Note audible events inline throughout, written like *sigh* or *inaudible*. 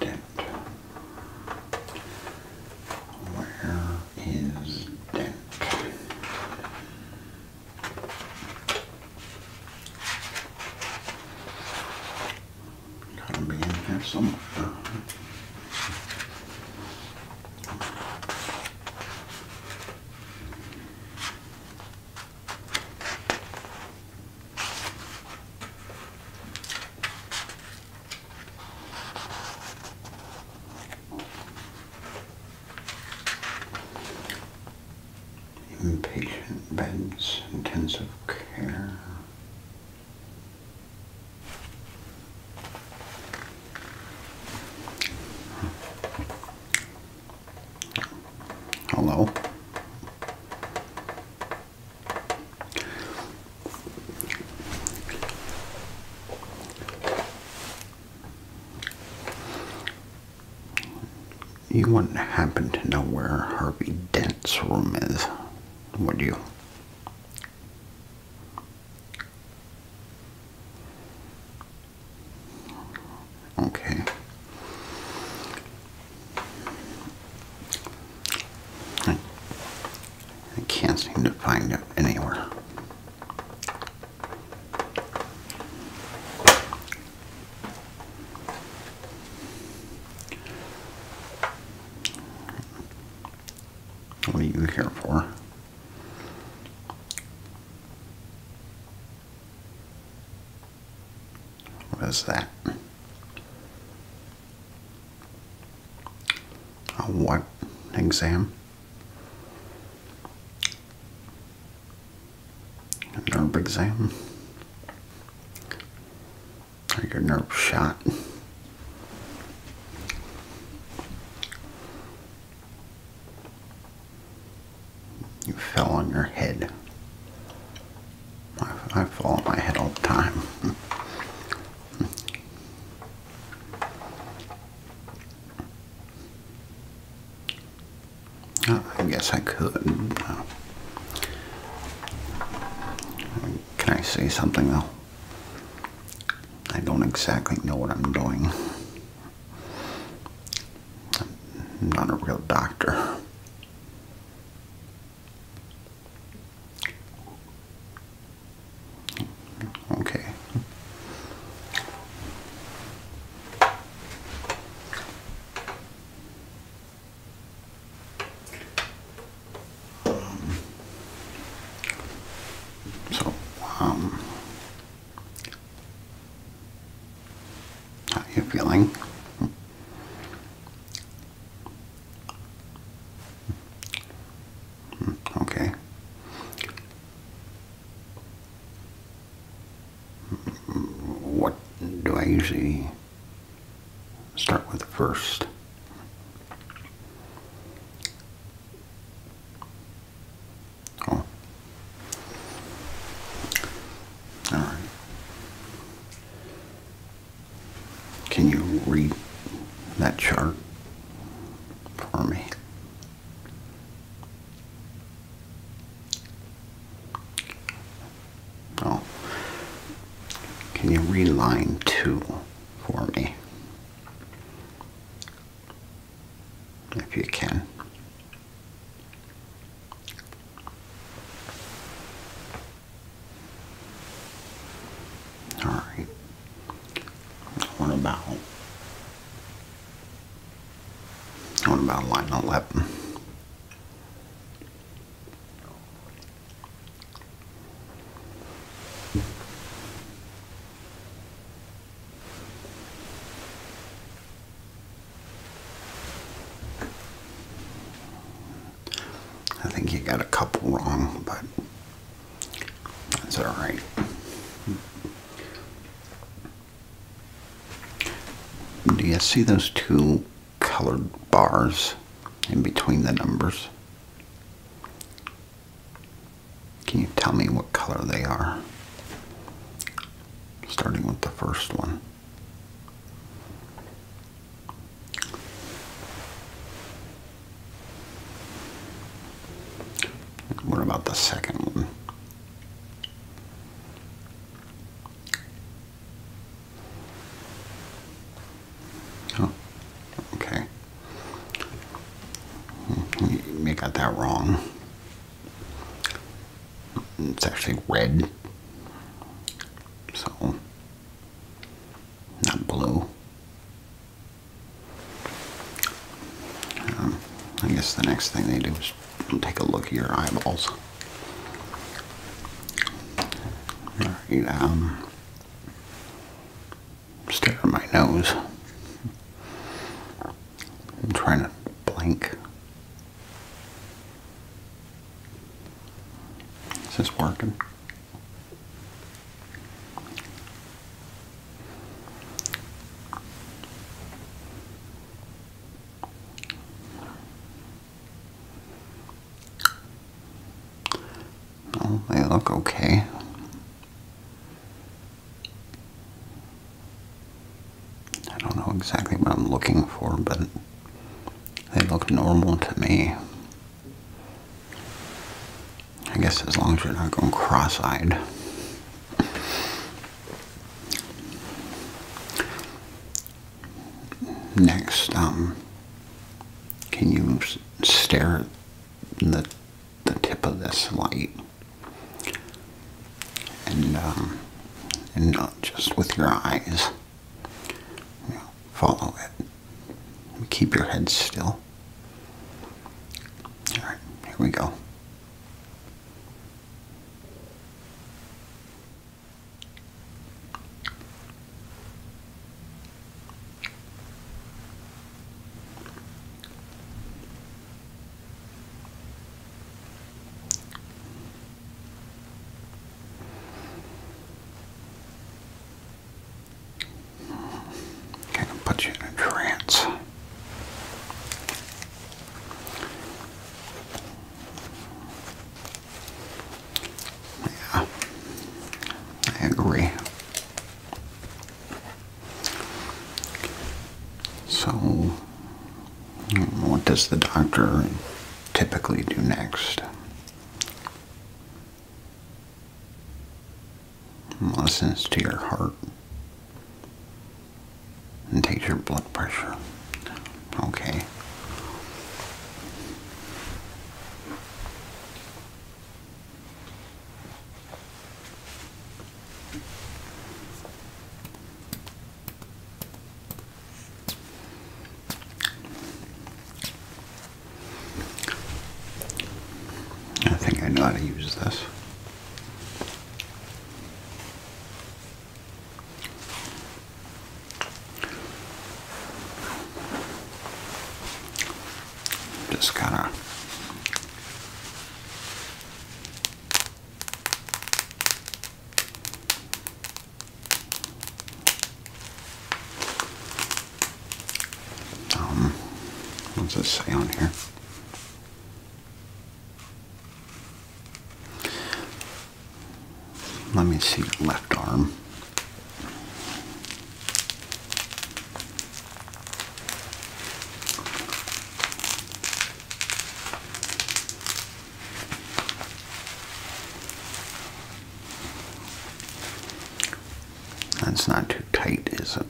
Debt. Where is debt? Gotta be in here somewhere. Impatient beds, intensive care. Hello. You wouldn't happen to know where Harvey Dent's room is, would you? Okay. I, can't seem to find it anywhere. What are you here for? What is that? A what exam? A nerve exam? Or your nerve shot? You fell on your head. I, fall on my head all the time. *laughs* I guess I could. Uh, can I say something though? I don't exactly know what I'm doing. I'm not a real doctor. Okay. Um, so, um, how are you feeling? Hmm, okay. What do I usually start with first? Oh, all right. Can you read that chart for me? Oh, can you read line two for me? If you can. All right. What about what about line eleven? I think you got a couple wrong, but that's all right. Do you see those two colored bars in between the numbers? Can you tell me what color they are? Starting with the first one. What about the second one? Oh, okay. Hmm, you got that wrong. It's actually red. So, not blue. Um, I guess the next thing they do is take a look at your eyeballs. Alright, um, stare at my nose. I'm trying to blink. Is this working? Oh, they look okay. I don't know exactly what I'm looking for, but they look normal to me. I guess as long as you're not going cross-eyed. Next, um, can you stare at the the tip of this light? and um, and not just with your eyes. You know, follow it. Keep your head still. All right, here we go. Kind of you in a trance. Yeah, I agree. So, what does the doctor typically do next? Listens to your heart and takes your blood pressure. Okay. I think I know how to use this. Just kind of. Um, what does it say on here? Let me see left arm. That's not too tight, is it?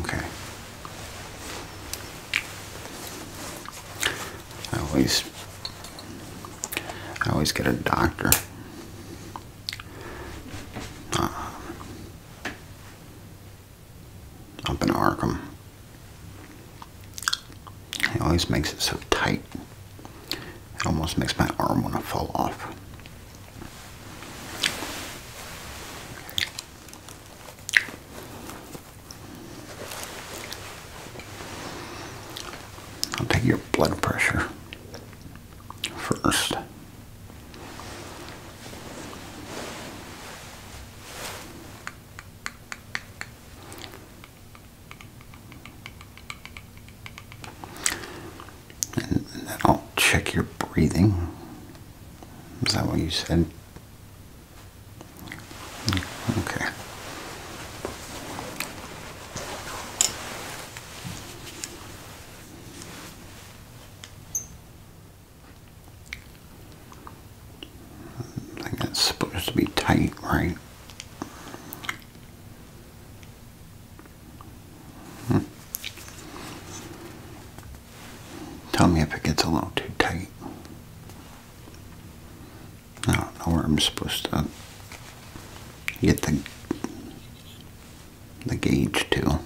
Okay. I always I always get a doctor. Uh, up in Arkham. He always makes it so tight. It almost makes my arm want to fall off. I'll take your blood pressure first. I'll check your breathing. Is that what you said? Okay. I think that's supposed to be tight, right? Hmm. Tell me if it gets a little too tight. I don't know where I'm supposed to get the the gauge too.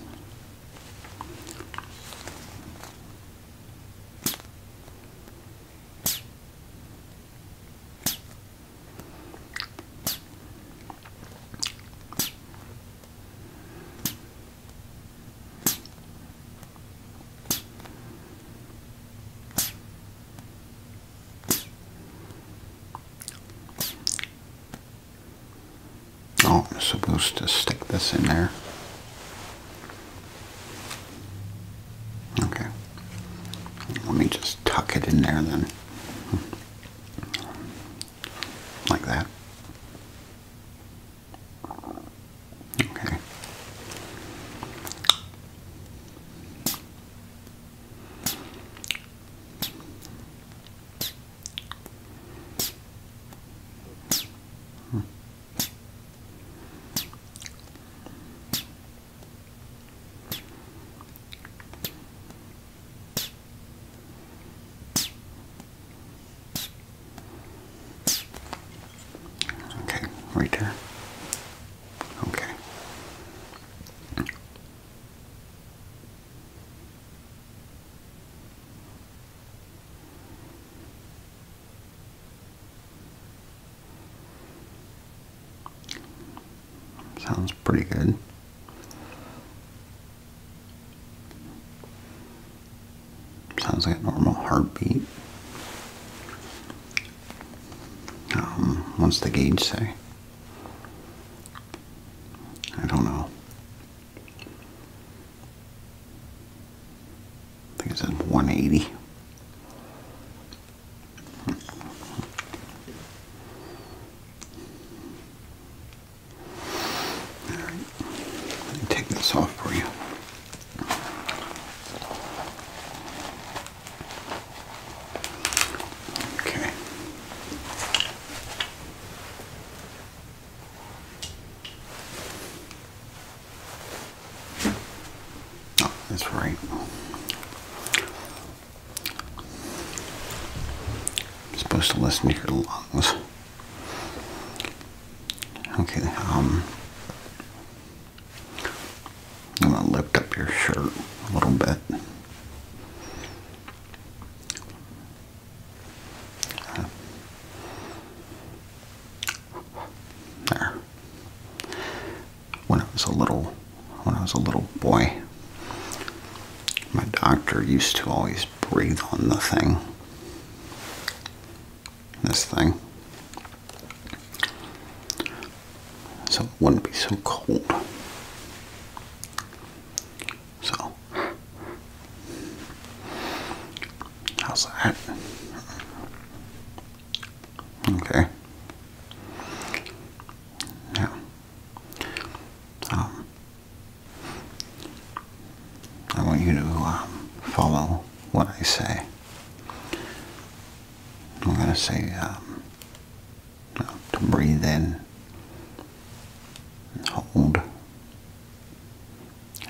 Oh, I'm supposed to stick this in there. Okay. Let me just tuck it in there then. Like that. Okay. Hmm. Okay, right there. Okay. Sounds pretty good. Sounds like a normal heartbeat. Um, what's the gauge say? I don't know. I think it's says 180. All right, let me take this off for you. Okay. Oh, that's right. I'm supposed to listen to your lungs. Okay, um, I'm gonna lift up your shirt a little bit there. When I was a little, when I was a little boy, my doctor used to always breathe on the thing. This thing. So it wouldn't be so cold. So, how's that? Okay. Yeah. Um, I want you to um, follow what I say. I'm going um, to say breathe in, hold,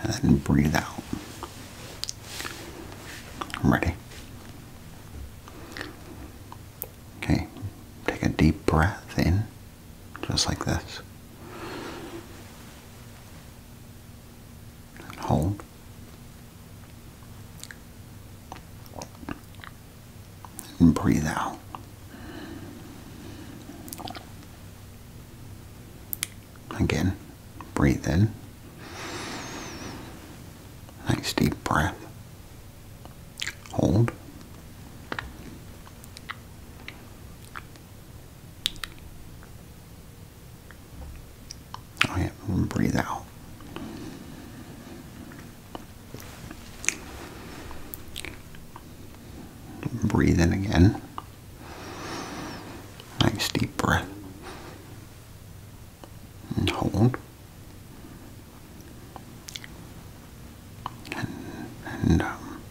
and then breathe out. I'm ready. Okay, take a deep breath in, just like this. And hold. And breathe out. Again, breathe in. Nice deep breath. Hold. Oh breathe out. Breathe in again. Nice deep breath. And hold. And, and, um,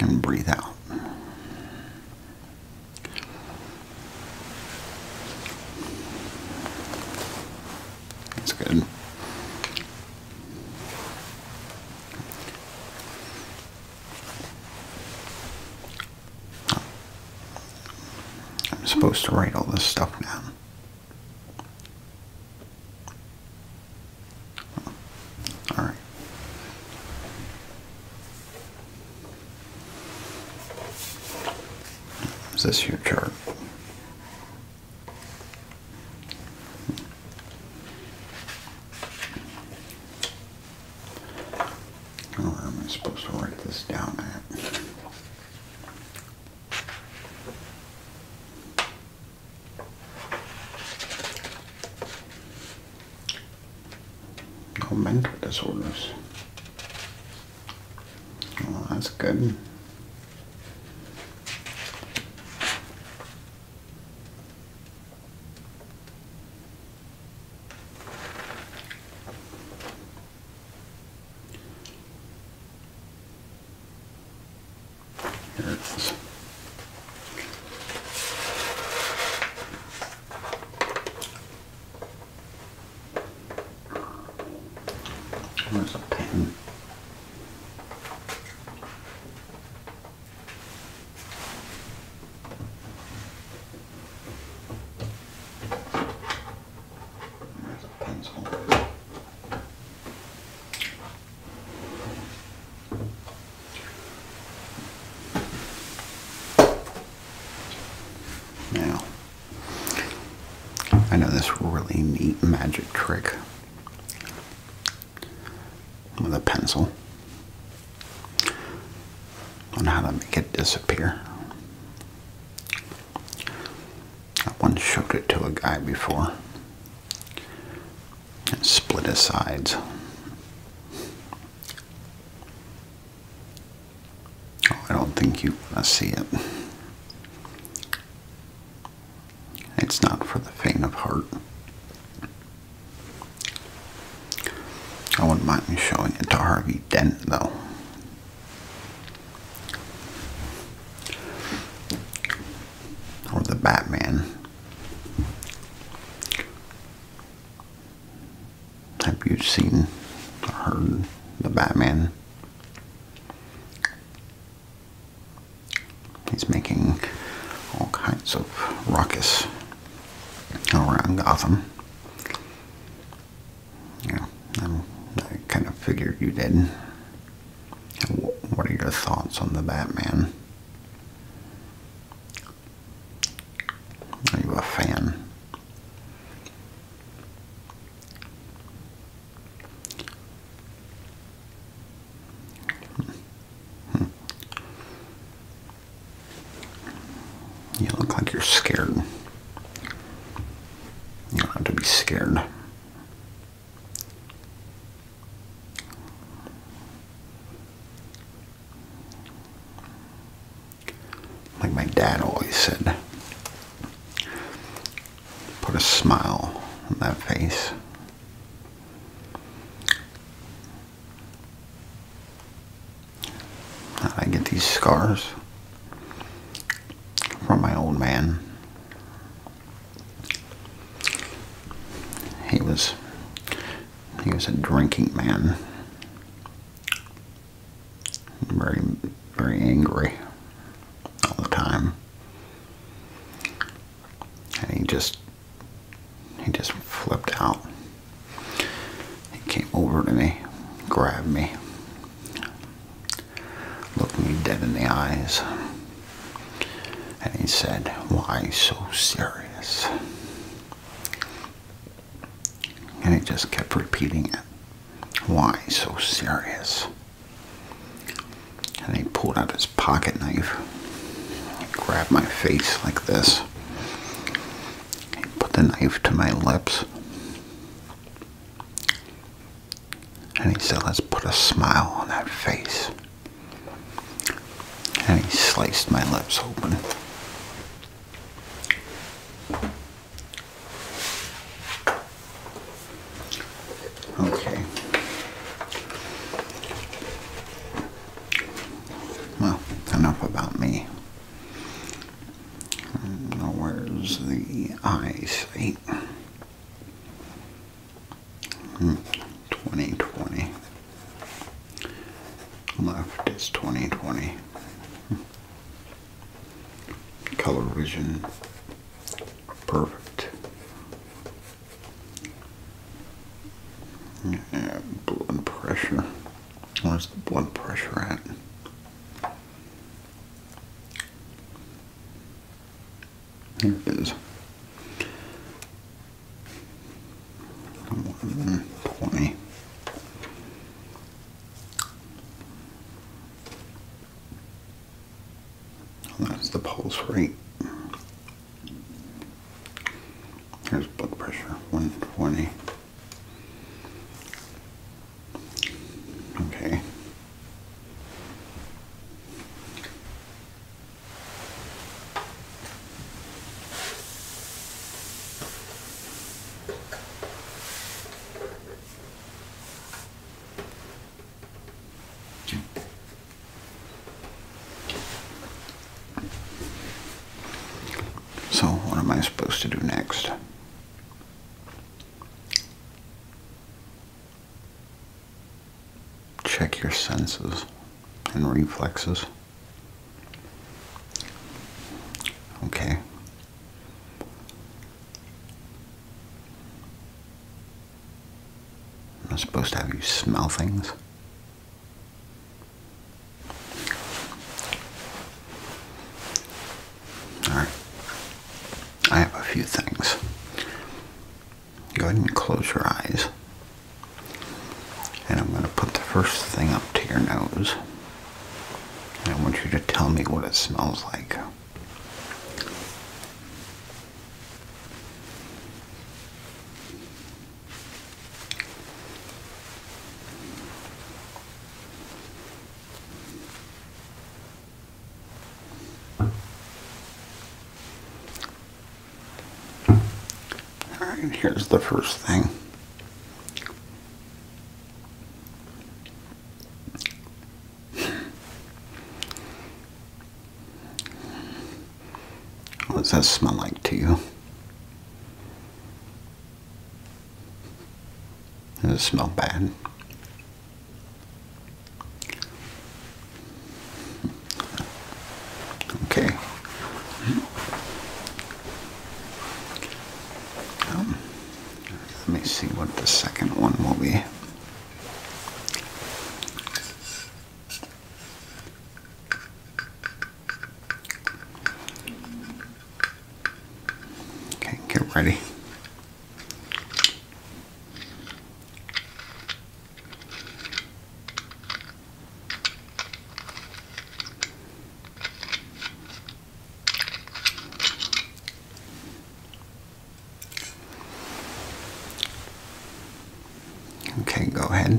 and breathe out. That's good. I'm supposed to write all this stuff down. All right. Is this your chart? Or oh, where am I supposed to write this down at? No mental disorders. Well, oh, that's good. Here it is. There's a pen. Now, I know this really neat magic trick with a pencil. on how to make it disappear. I once showed it to a guy before and split his sides. Oh, I don't think you want see it. It's not for the faint of heart. I wouldn't mind showing it to Harvey Dent, though. Or the Batman. Have you seen or heard the Batman? He's making all kinds of ruckus around Gotham. Yeah, i I kind of figured you did. What are your thoughts on the Batman? Are you a fan? Hmm. You look like you're scared. You don't have to be scared. Like my dad always said, put a smile on that face. I get these scars from my old man. He was he was a drinking man. Very very angry all the time. And he just he just flipped out. He came over to me, grabbed me, looked me dead in the eyes, and he said, Why so serious? And he just kept repeating it. Why so serious? and he pulled out his pocket knife. He grabbed my face like this. He put the knife to my lips. And he said, let's put a smile on that face. And he sliced my lips open. Okay. Well, enough about me. Now, where's the eyesight? Hmm. 2020. Left is 2020. Hmm. Color vision. Perfect. Yeah, blood pressure. Where's the blood pressure at? There it is. 120. That's the pulse rate. Here's blood pressure, 120. Okay. So, what am I supposed to do next? Check your senses and reflexes. Okay. I'm not supposed to have you smell things. Alright. I have a few things. Go ahead and close your eyes. And I'm going to put the first thing up to your nose. And I want you to tell me what it smells like. All right, here's the first thing. What does that smell like to you? Does it smell bad? Okay. Um, let me see what the second one will be. Okay, get ready. Okay, go ahead.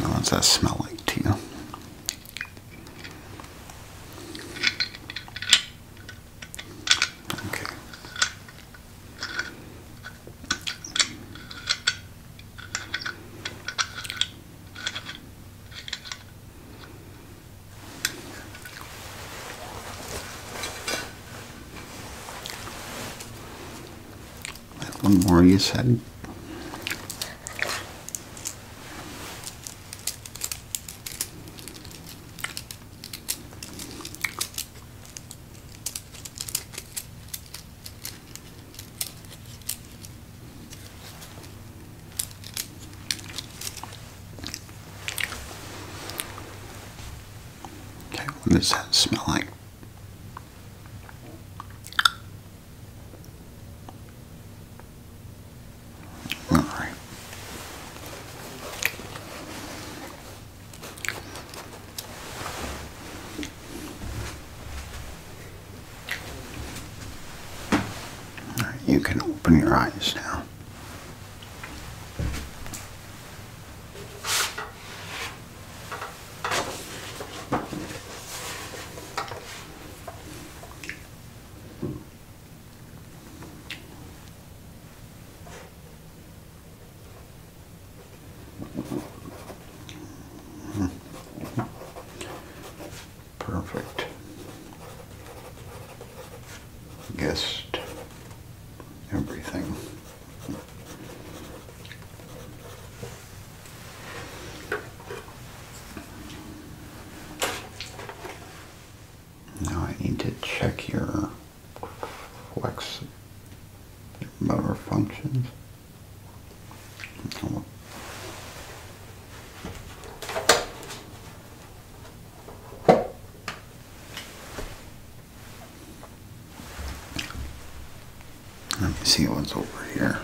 what does that smell like to you? Okay one more you said. Okay, what does that smell like? All right you can open your eyes now. Perfect. Guessed everything. Now I need to check your flex motor functions. Let me see what's over here.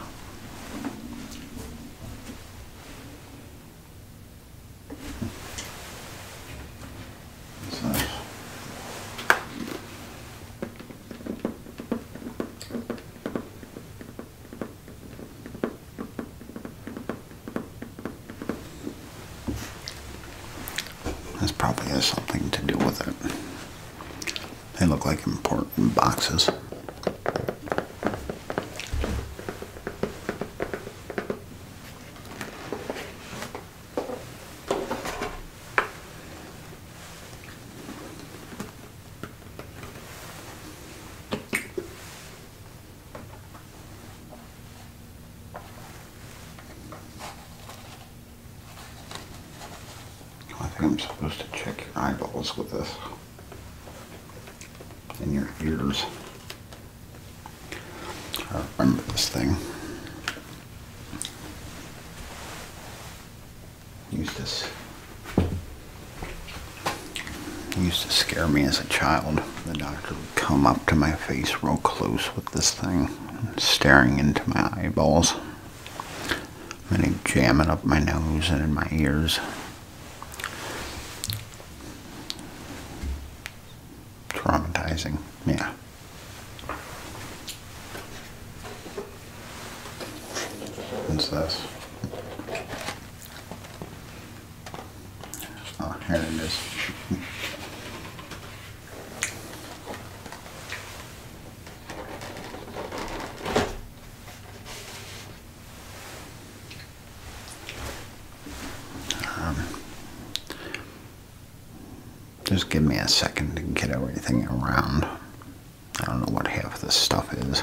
This probably has something to do with it. They look like important boxes. I think I'm supposed to check your eyeballs with this and your ears. I remember this thing used to used to scare me as a child. The doctor would come up to my face real close with this thing, staring into my eyeballs. And he jam it up my nose and in my ears. Traumatizing, yeah there. Oh, here it is. um, just give me a second to get everything around. I don't know what half this stuff is.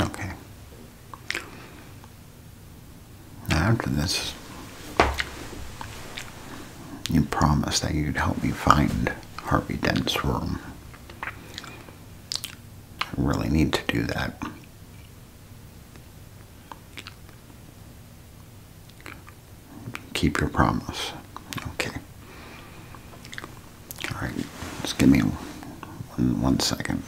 Okay. after this, you promised that you'd help me find Harvey Dent's room. I really need to do that. Keep your promise. Okay. All right. Just give me one second.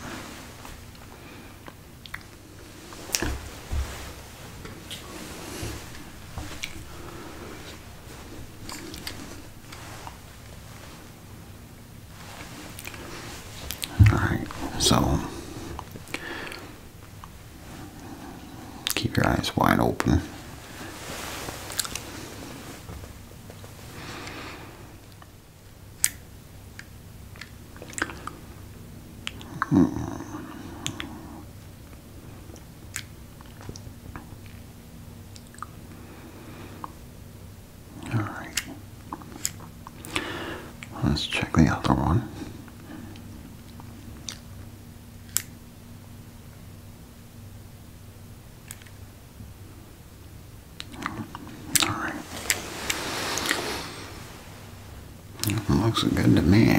Alright, so keep your eyes wide open. All right. Let's check the other one. All right. looks good to me.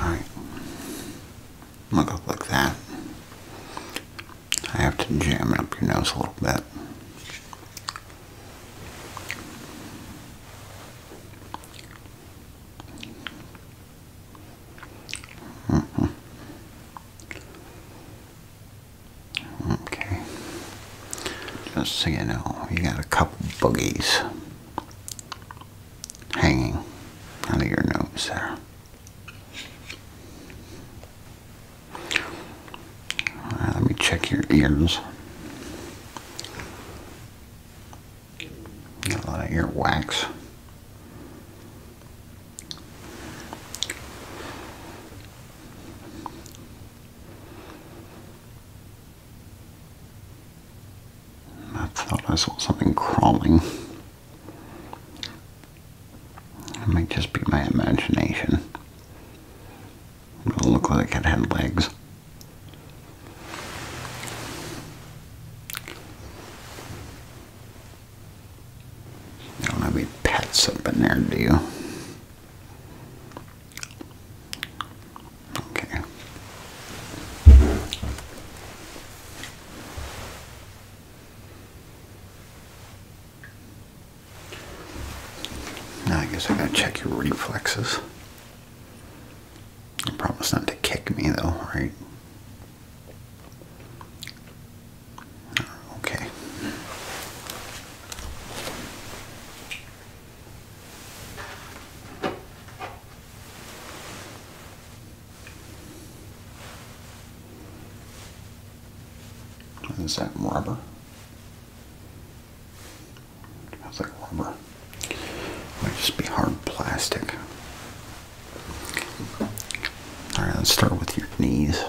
All right, I'm gonna go like that. I have to jam it up your nose a little bit. Okay. Just so you know, you got a couple boogies hanging out of your nose there. Uh, let me check your ears. Got a lot of earwax. I thought I saw something crawling. It might just be my imagination. it looked like it had legs don't have any pets up in there, do you? Okay. I guess I gotta check your reflexes. I promise not to kick me though, right? Okay. What is that rubber? Smells like rubber. Might just be hard plastic. Alright, let's start with your knees.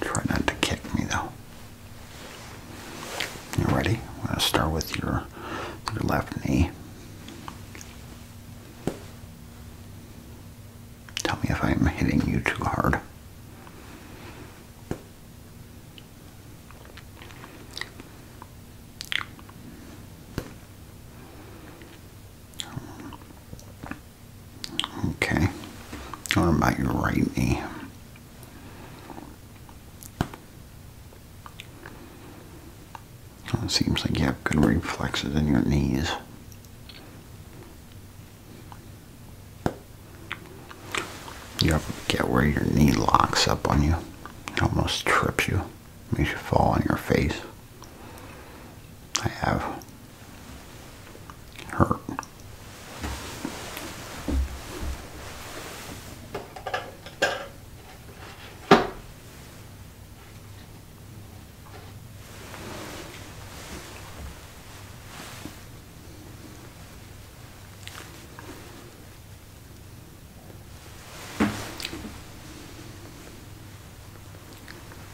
Try not to kick me though. You ready? I'm gonna start with your your left knee. Tell me if I'm hitting you too hard. Okay. What about your right knee? it seems like you have good reflexes in your knees. You ever get where your knee locks up on you? almost trips you. Makes you fall on your face. I have. Hurt.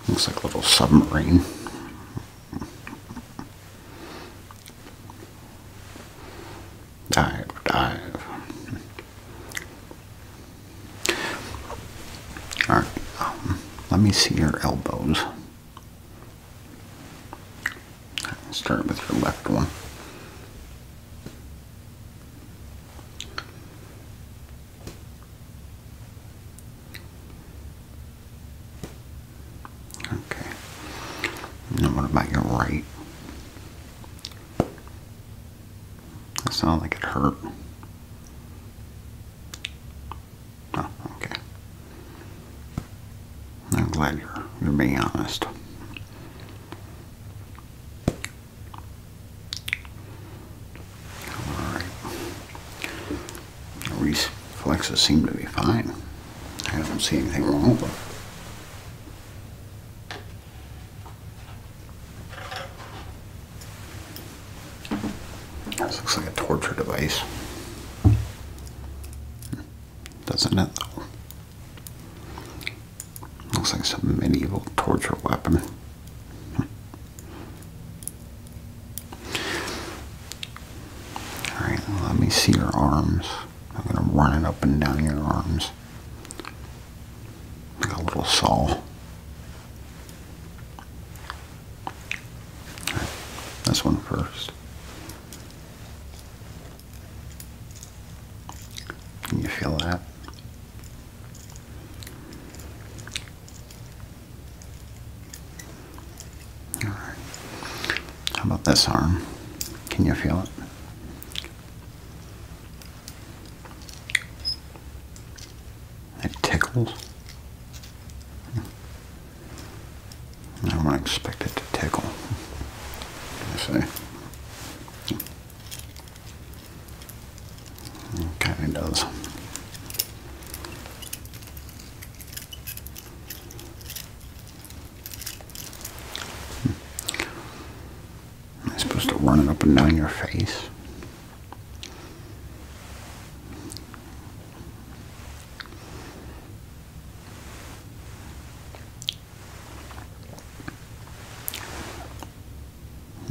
Looks like a little submarine. Dive, dive. Alright, um, let me see your elbows. Start with your left one. Okay. Now what about your right? That sounded like it hurt. Oh, okay. I'm glad you're, you're being honest. Alright. Reflexes seem to be fine. I don't see anything wrong with them. This looks like a torture device. Doesn't it though? Looks like some medieval torture weapon. Alright, let me see your arms. I'm gonna run it up and down your arms. Like a little saw. Right, this one first. Can you feel that? All right. How about this arm? Can you feel it? It tickles. I don't expect it to tickle. Hmm. I see. It kind of does. Am supposed to run it up and down your face?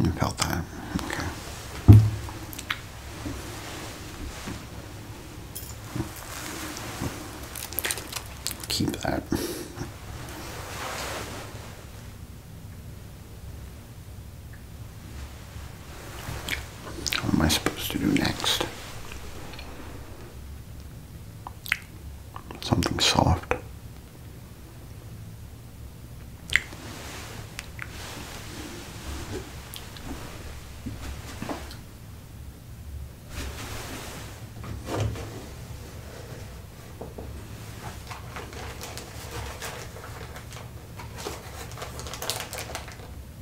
You felt that, okay. Keep that. What am I supposed to do next? something soft.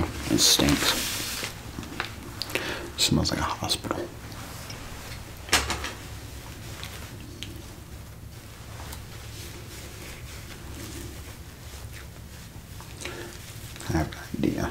Oh, it stinks. smells like a hospital. I have an idea.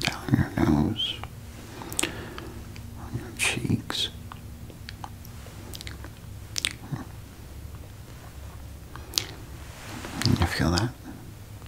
down your nose, on your cheeks. You feel that?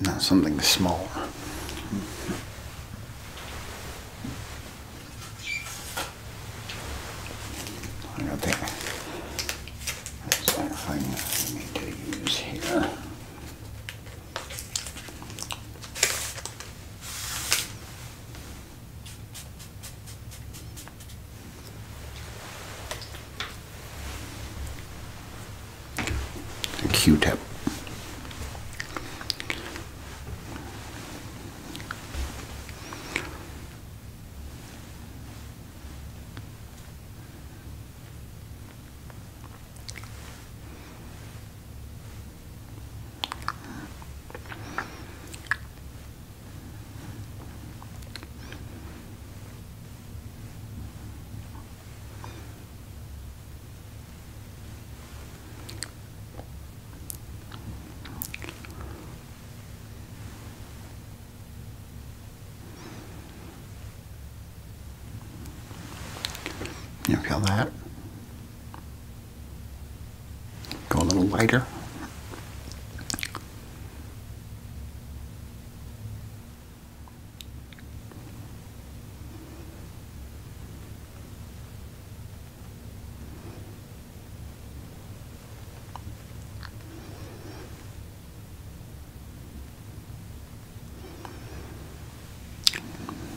Now something smaller. I got that. thing I need to use here q Q-tip. You feel that? Go a little lighter.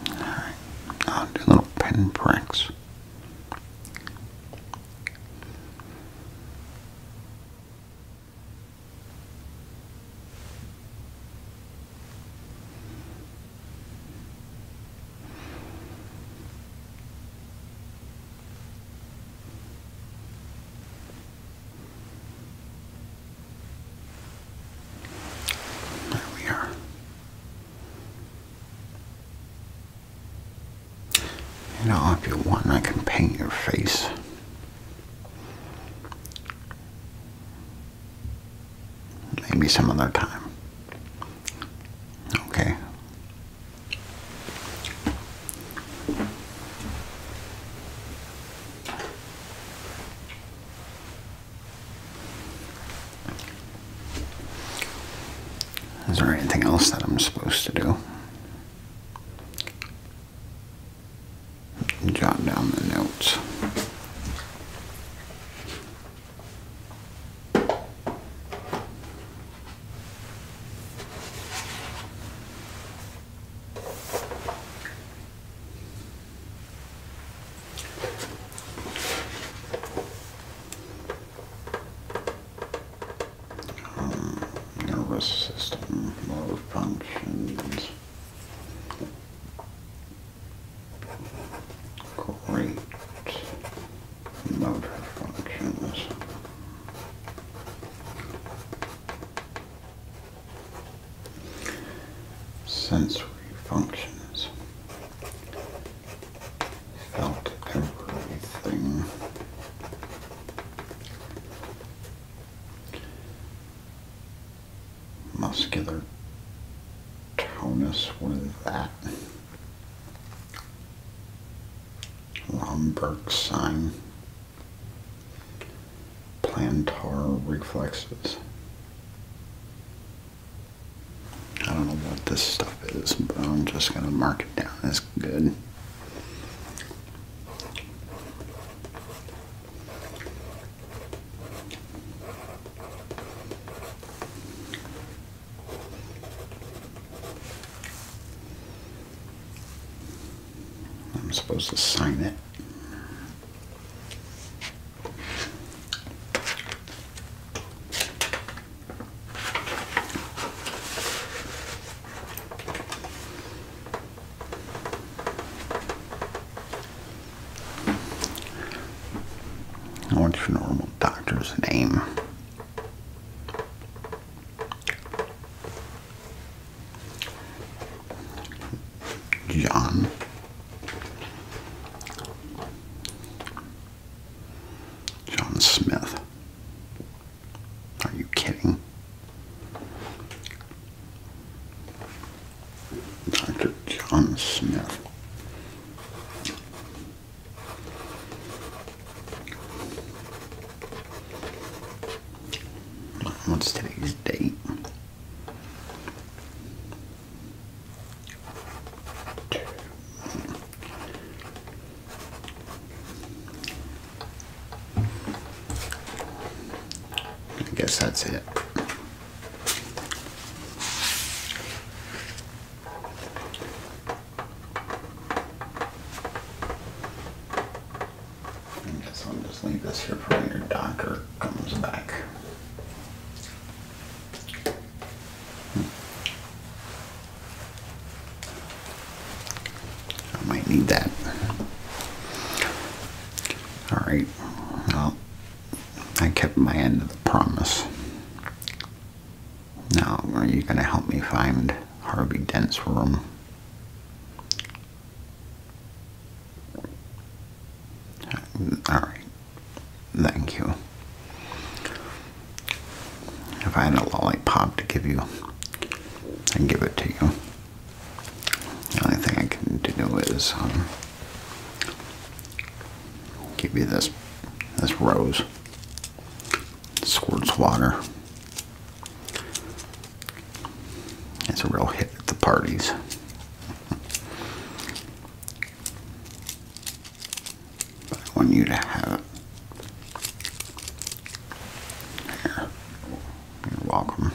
All right, I'll do little pen pricks. There we are. You know, if you want, I can paint your face. Maybe some other time. Okay. Is there anything else that I'm supposed to do? jot down the notes. Um, nervous system, motor functions. Great motor functions. Sensory functions. Felt everything muscular tonus. What is that? Lomberg sign. Plantar reflexes. I don't know what this stuff is, but I'm just going to mark it down That's good. I'm supposed to sign it. What's your normal doctor's name? John. John Smith. Are you kidding? Dr. John Smith. What's today's date? I guess that's it. I guess I'll just leave this here for when your doctor comes back. Hmm. I might need that. All right, well, I kept my end of the promise. Now, are you going to help me find Harvey Dent's room? Alright. Thank you. I had a lollipop to give you, and give it to you. The only thing I can do is um, give you this this rose. Squirts water. It's a real hit at the parties. But I want you to have it. You're welcome.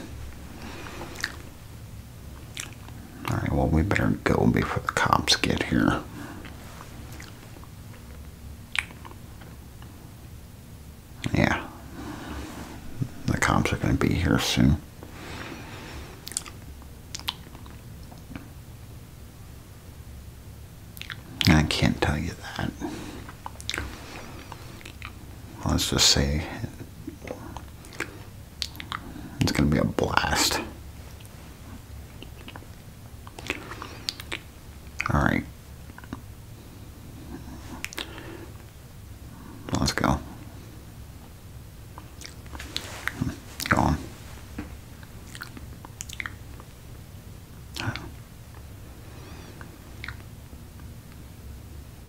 All right, well, we better go before the cops get here. Yeah, the cops are going to be here soon. I can't tell you that. Let's just say it's going to be a blast. All right. Let's go. Go on.